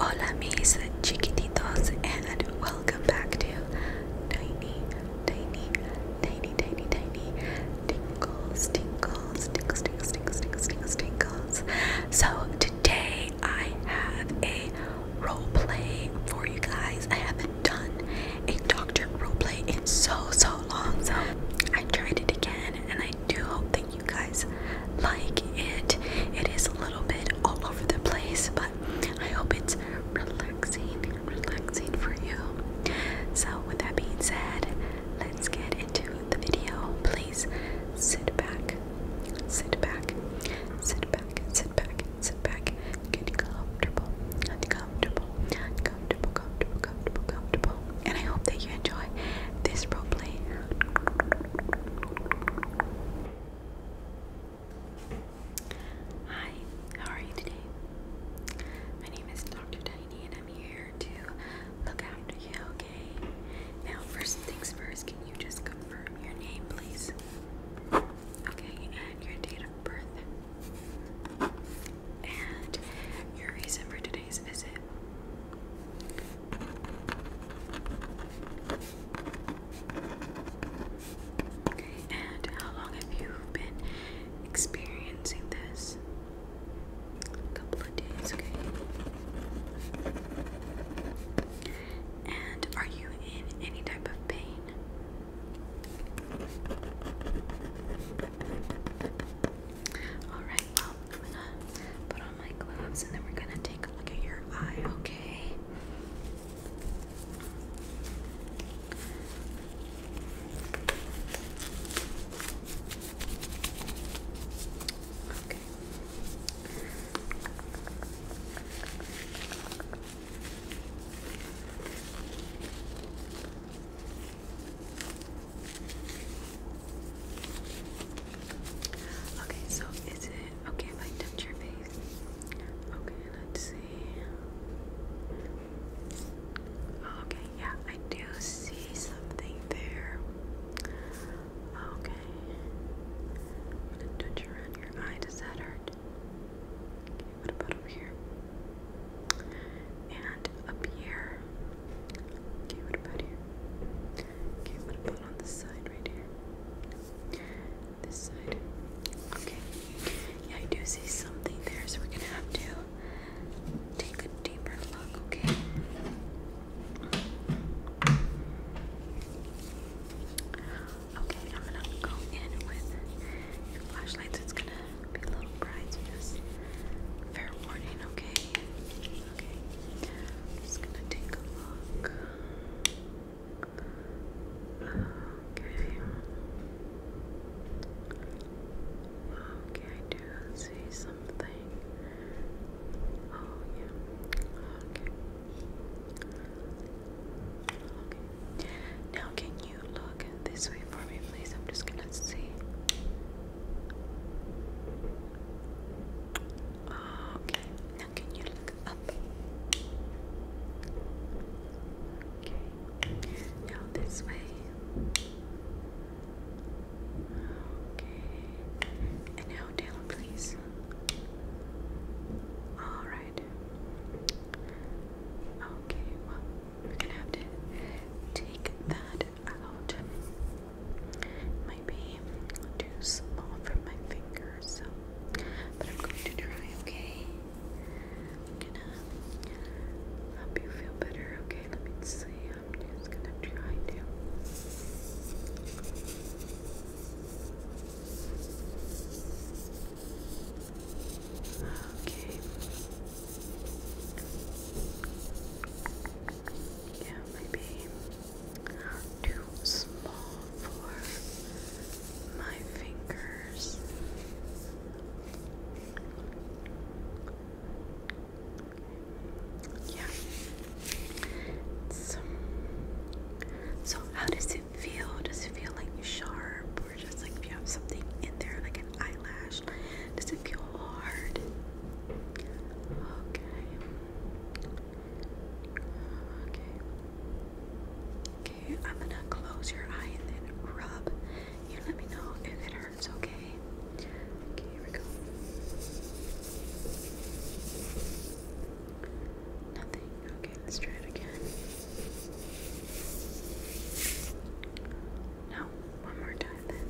Hola mis chiquititos and welcome back to Tiny, Tiny, Tiny, Tiny, Tiny Tingles, So today I have a role play for you guys. I done a doctor roleplay in so so long. So I tried it again and I do hope that you guys like it. It is a little bit all over the place, but I hope it's relaxing, relaxing for you. So with that being said, let's get into the video. Please sit back. Sit back. Sit back. Sit back. Sit back. Get comfortable. Get comfortable comfortable, comfortable, comfortable, And I hope that you enjoy this roleplay. Hi, how are you today? My name is Dr. Tiny and I'm here to look after you, okay? Now, first things first, can you just confirm your name, please? Okay, and your date of birth? And your reason for today's visit. And how long have you been experiencing this? A couple of days, okay. And are you in any type of pain? Alright, well, I'm gonna put on my gloves and then we're gonna take a look at your eye, okay? Okay. Okay. Okay, so is it okay if I touch your face? Okay, let's see. Oh, okay, yeah, I do see something there. Okay. I'm gonna touch around your eye. Does that hurt? Okay. What about over here? And up here. Okay, what about here? Okay, what about on this side right here? This side. Okay. Yeah, I do see something there, so we're gonna have to take a deeper look, okay? Okay, I'm gonna go in with your it's gonna be a little priciness. Fair warning, okay? Okay. just gonna take a look. Okay. Okay, I do see something. Oh yeah. Okay. Okay. Now, can you? look this way for me, please? I'm just gonna see. Ah, okay, now can you look up? Okay, now this way. Okay, and now down, please. All right. Okay, well, we're gonna have to take that out. might be too small for my finger, so but I'm going to try, okay? gonna help you feel better, okay? Let me see. I'm just gonna try to Okay. Yeah, maybe too small for my fingers. Yeah. So, so how does it feel? Does it feel sharp where just like if you have something in there, like an eyelash, does it feel hard? Okay. Okay. Okay, I'm gonna close your eye and then rub. You let me know if it hurts, okay? Okay, here we go. Nothing. Okay, let's try it again. No, one more time then.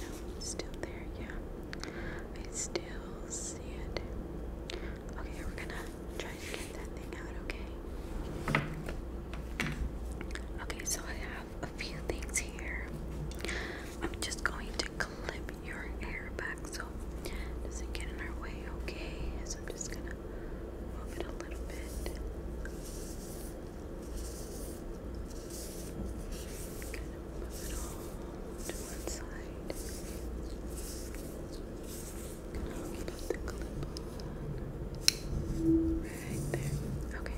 No, still there, yeah. I still see it. Okay, we're gonna try to get that thing out, okay? Okay, so I have a few things here. I'm just going to clip your hair back so it doesn't get in our way, okay? So I'm just gonna move it a little bit. Kind move it all to one side. Gonna get at the clip right there. Okay,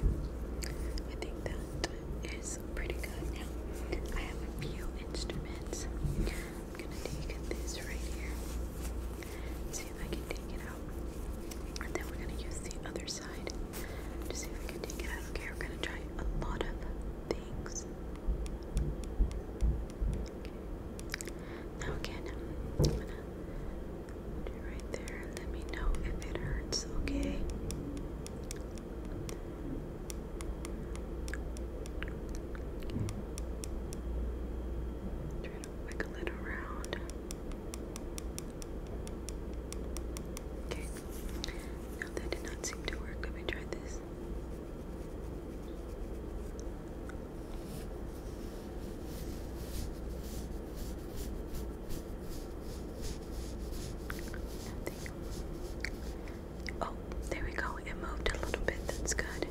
I think that is pretty good. Now I have a few instruments. I'm gonna take this right here. See if I can take it out. And then we're gonna use the other side to see if we can take it out. Okay, we're gonna try a lot of things. Now again, I'm gonna do right there let me know if it hurts, okay? Try to wiggle it around. Okay. Now that did not seem to work. Let me try this. Oh, there we go. It moved a little bit. That's good.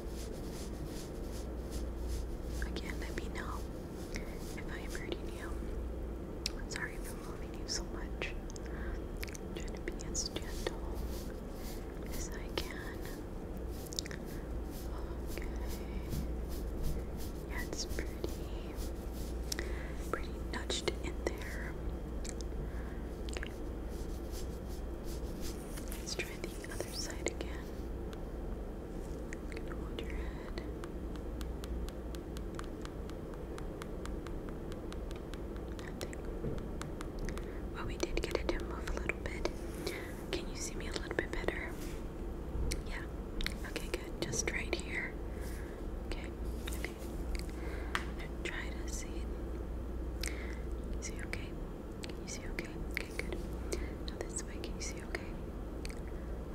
Again, let me know if I am hurting you. sorry for moving you so much. trying to be as gentle as I can. Okay. Yeah, it's pretty, pretty nudged in there. Let's try the other side again. i your head. Well, we did get it to move a little bit. Can you see me a little bit better? Yeah. Okay, good. Just right here. Okay. Okay. Try to see See, okay. Can you see okay? Okay, good. Now this way, can you see okay?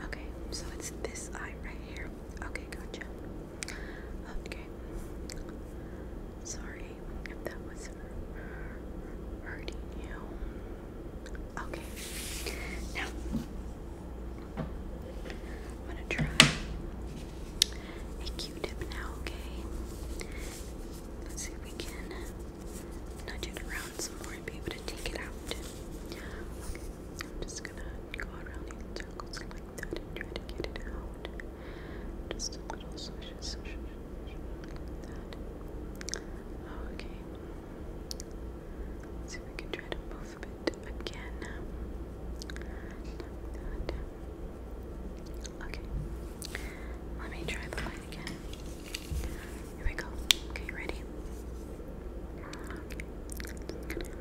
Okay, so it's this eye right here. Okay, gotcha. Okay. Sorry that was hurting you. Okay. Now I'm gonna try a Q-tip now, okay? Let's see if we can nudge it around some more and be able to take it out. Okay, I'm just gonna go around in circles like that try to get it out. Just a little swish, swish, swish, like that. Okay. see if we can try to move a again. Okay. Let me try the line again. Here we go. Okay, ready? Okay.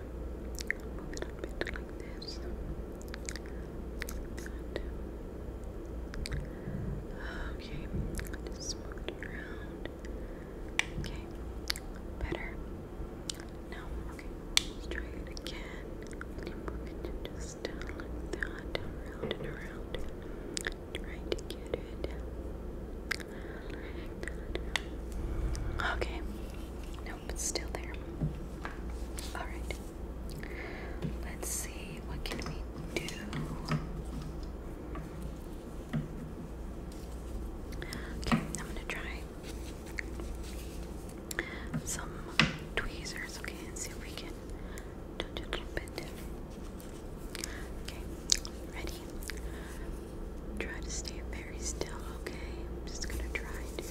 Move it bit like this. Okay, just around. Okay, better. No, okay, let's try it again. just Okay. Nope, it's still there. Alright. Let's see, what can we do? Okay, I'm gonna try some tweezers, okay, and see if we can do a little bit. Okay, ready? Try to stay very still, okay? I'm just gonna try to.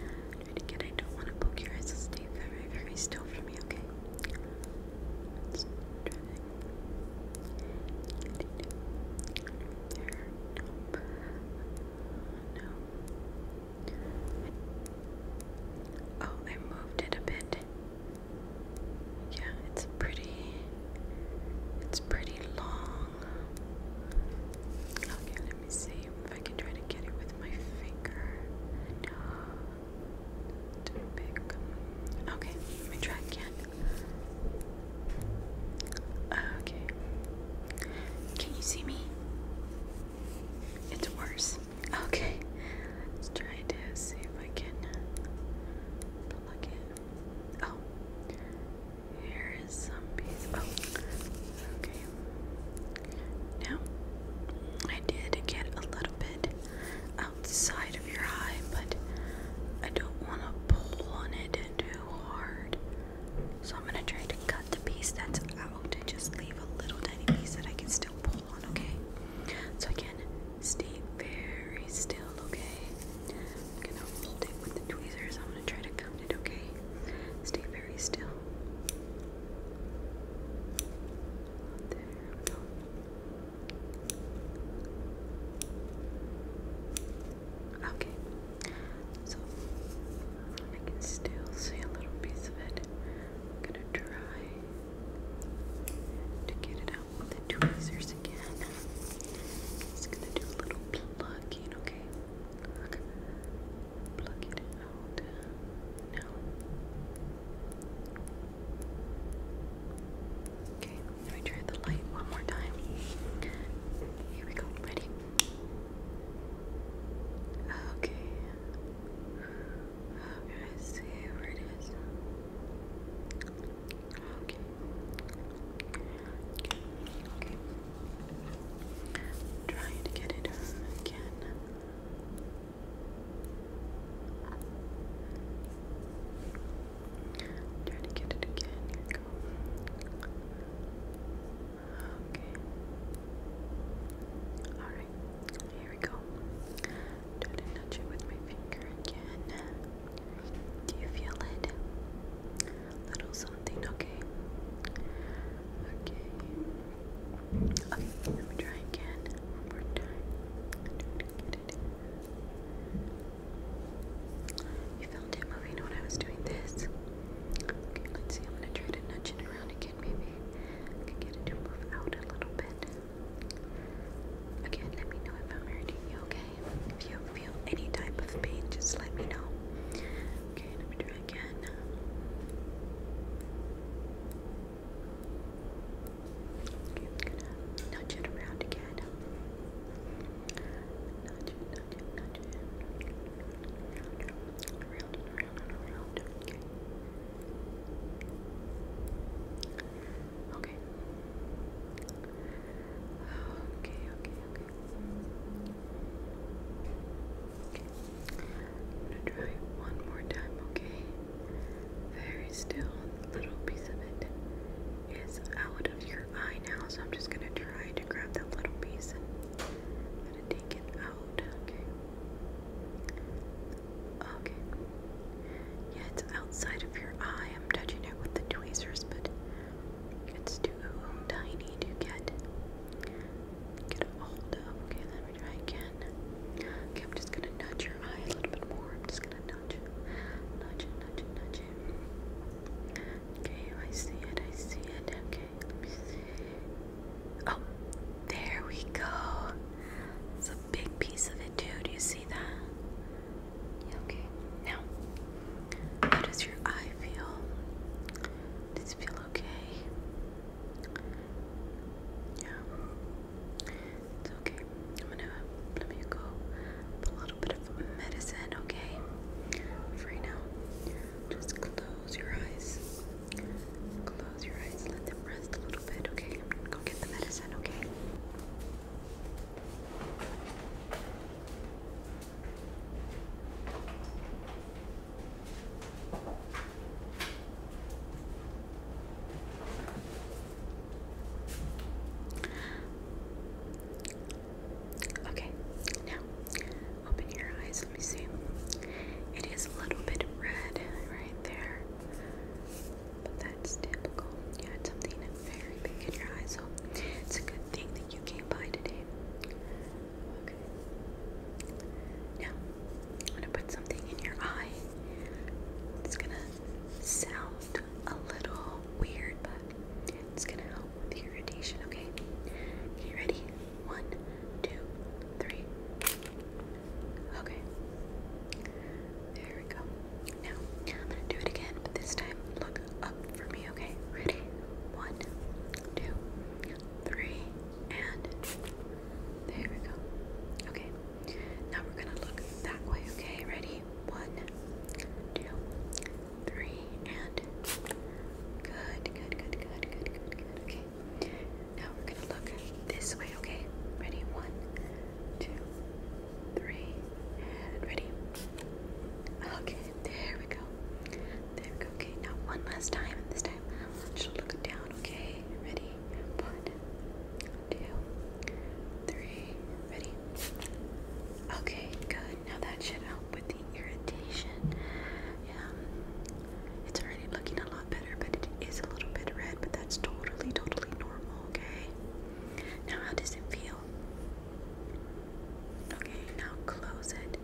Try to get, I don't wanna poke your eyes, stay very, very still for me, okay? try There, No. Oh, I moved it a bit. Yeah, it's pretty it's pretty long. Okay, let me see if I can try to get it with my finger. Too big. Okay, let me try again. Okay. Can you see me? It's worse. Okay, let's try to see if I can uh, plug it. Oh, here is some piece. Oh, okay. Now, I did get a little bit outside of your eye, but I don't want to pull on it too hard. So I'm gonna try to cut the piece that's out and just leave a little tiny piece that I can still pull on, okay? So I can stay very still, okay? I'm gonna it with the tweezers. I'm gonna try to count it, okay? Stay very still. There Okay, so I can still see a little piece of it. I'm gonna try to get it out with the tweezers again. Just gonna do a little plucking, okay? Pluck it out now. Okay, let me try the light one more time. Here we go, ready? Okay. Okay, see where it is. Okay. Trying to get it again. Try to get it again. Here we go. Okay. Alright. Alright, here we go. Don't touch it with my finger again. Do you feel it? little something, okay. Okay. let me try again. You felt it moving when I was doing this. Okay, let's see. I'm gonna try to nudge it around again, maybe. can get it to move out a little bit. Again, let me know if I'm hurting you, okay? If you feel any type of pain, just let me know. Okay, let me do again. Okay, I'm gonna nudge it around again. Nudge it, nudge it, nudge it. Around and around around. Okay. Okay, okay, okay. gonna try one more time, okay? Very still. Little piece of it is out of your eye now, so I'm just gonna try to grab that little piece and take it out, okay? Okay. Yeah, it's outside of your eye. I'm touching it with the tweezers, but it's too tiny to get get a hold of. Okay, let me try again. Okay, I'm just gonna nudge your eye a little bit more. I'm just gonna nudge it. Nudge it, nudge it, nudge it. Okay, I see it, I see it. Okay, Oh, there we go. It's a big piece of it, too. Do you see that? Okay, now, how does your eye feel? Does it feel okay? Yeah, it's okay. I'm gonna let me go with a little bit of medicine, okay? For now, just close your eyes. Close your eyes, let them rest a little bit, okay? I'm gonna go get the medicine, okay? Okay, now open your eyes. Let me see. It is a little bit red right there that's typical. You something very big in your eye, it's a good thing that you came by today. Okay. Now, I'm going to put something in your eye. It's going to sound a little weird, but it's going to help with irritation, okay? Okay, ready? One, two, three. Okay. There we go. Now, I'm gonna do it again, but this time look up for me, okay? Ready? One, two, three, and there we go. Okay. Now we're gonna look that way, okay? Ready? One, two, three, and good, good, good, good, good, good, good. Okay, now we're gonna look this way, okay? Ready? One, two, three, and ready. Okay, there we go. There we go. Okay, now one last time, this time just look down, okay? Ready? One, two, three, ready? Okay, good. Now that should help with the irritation. Yeah. It's already looking a lot better, but it is a little bit red, but that's totally, totally normal, okay? Now, how does it feel? Okay, now close it.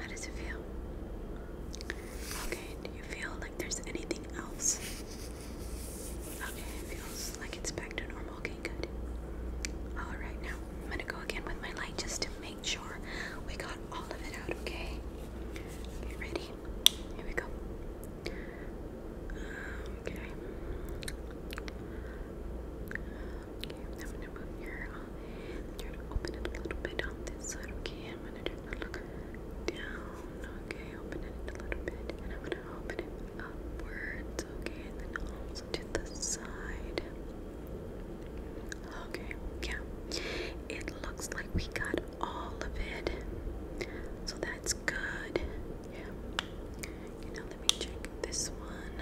How does it feel? Okay, do you feel like there's anything else? Okay, it feels like it's back to normal. Okay, good. Alright, now I'm gonna go again with my light just to make sure we got all of it out, okay? ready? Here we go. Okay. Okay, I'm gonna move here. Try to open it a little bit on this side. Okay, I'm gonna turn the look down. Okay, open it a little bit, and i open it upwards. Okay, and then also to the side. Okay, yeah. It looks like we got all of it. So that's good. Yeah. Okay, now let me check this one.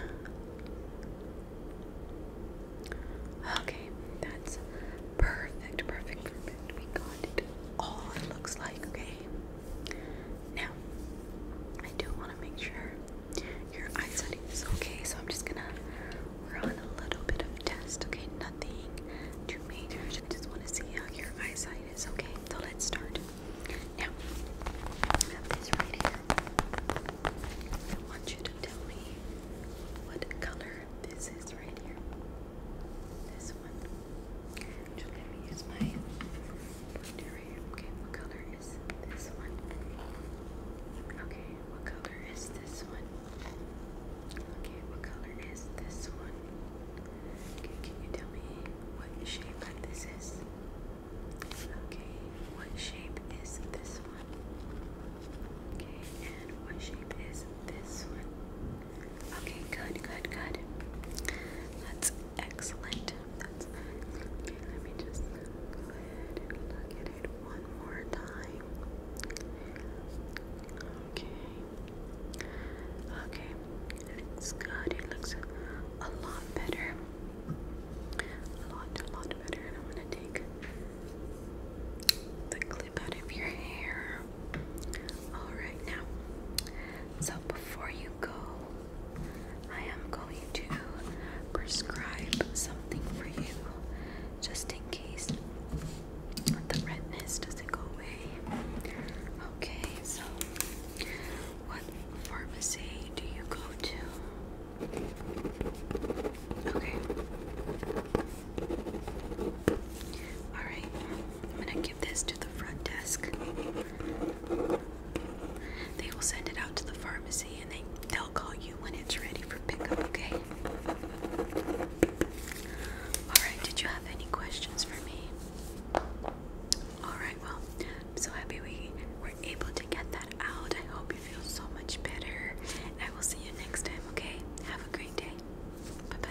Okay, that's perfect, perfect, perfect. We got it all, it looks like, okay? Now, I do want to make sure your eyesight is okay, so I'm just gonna, we a little bit of test, okay? nothing too I just want to see how your eyesight is, okay? So let's start. Now, I have this right here. I want you to tell me what color this is right here. This one. let me use my pointer here. Okay, what color is this one? Okay, what color is this one? Okay, what color is this one? can you tell me what shape this is? Okay, what shape is this one? Okay, and what shape is this one? Okay, good, good, good. That's excellent. That's okay. Let me just go ahead and look at it one more time. Okay. Okay, it's good. looks a lot better. A lot, a lot better. I'm to take the clip out of your hair. Alright, now, so before you go, I am going to prescribe something for you just in case taste. The redness doesn't go away. Okay, so what pharmacy do you go to? Okay. Alright, I'm gonna give this to the front desk. They will send it out to the pharmacy and they, they'll call you when it's ready for pickup, okay? Alright, did you have any questions for me? Alright, well, I'm so happy we were able to get that out. I hope you feel so much better. I will see you next time, okay? Have a great day. Bye bye.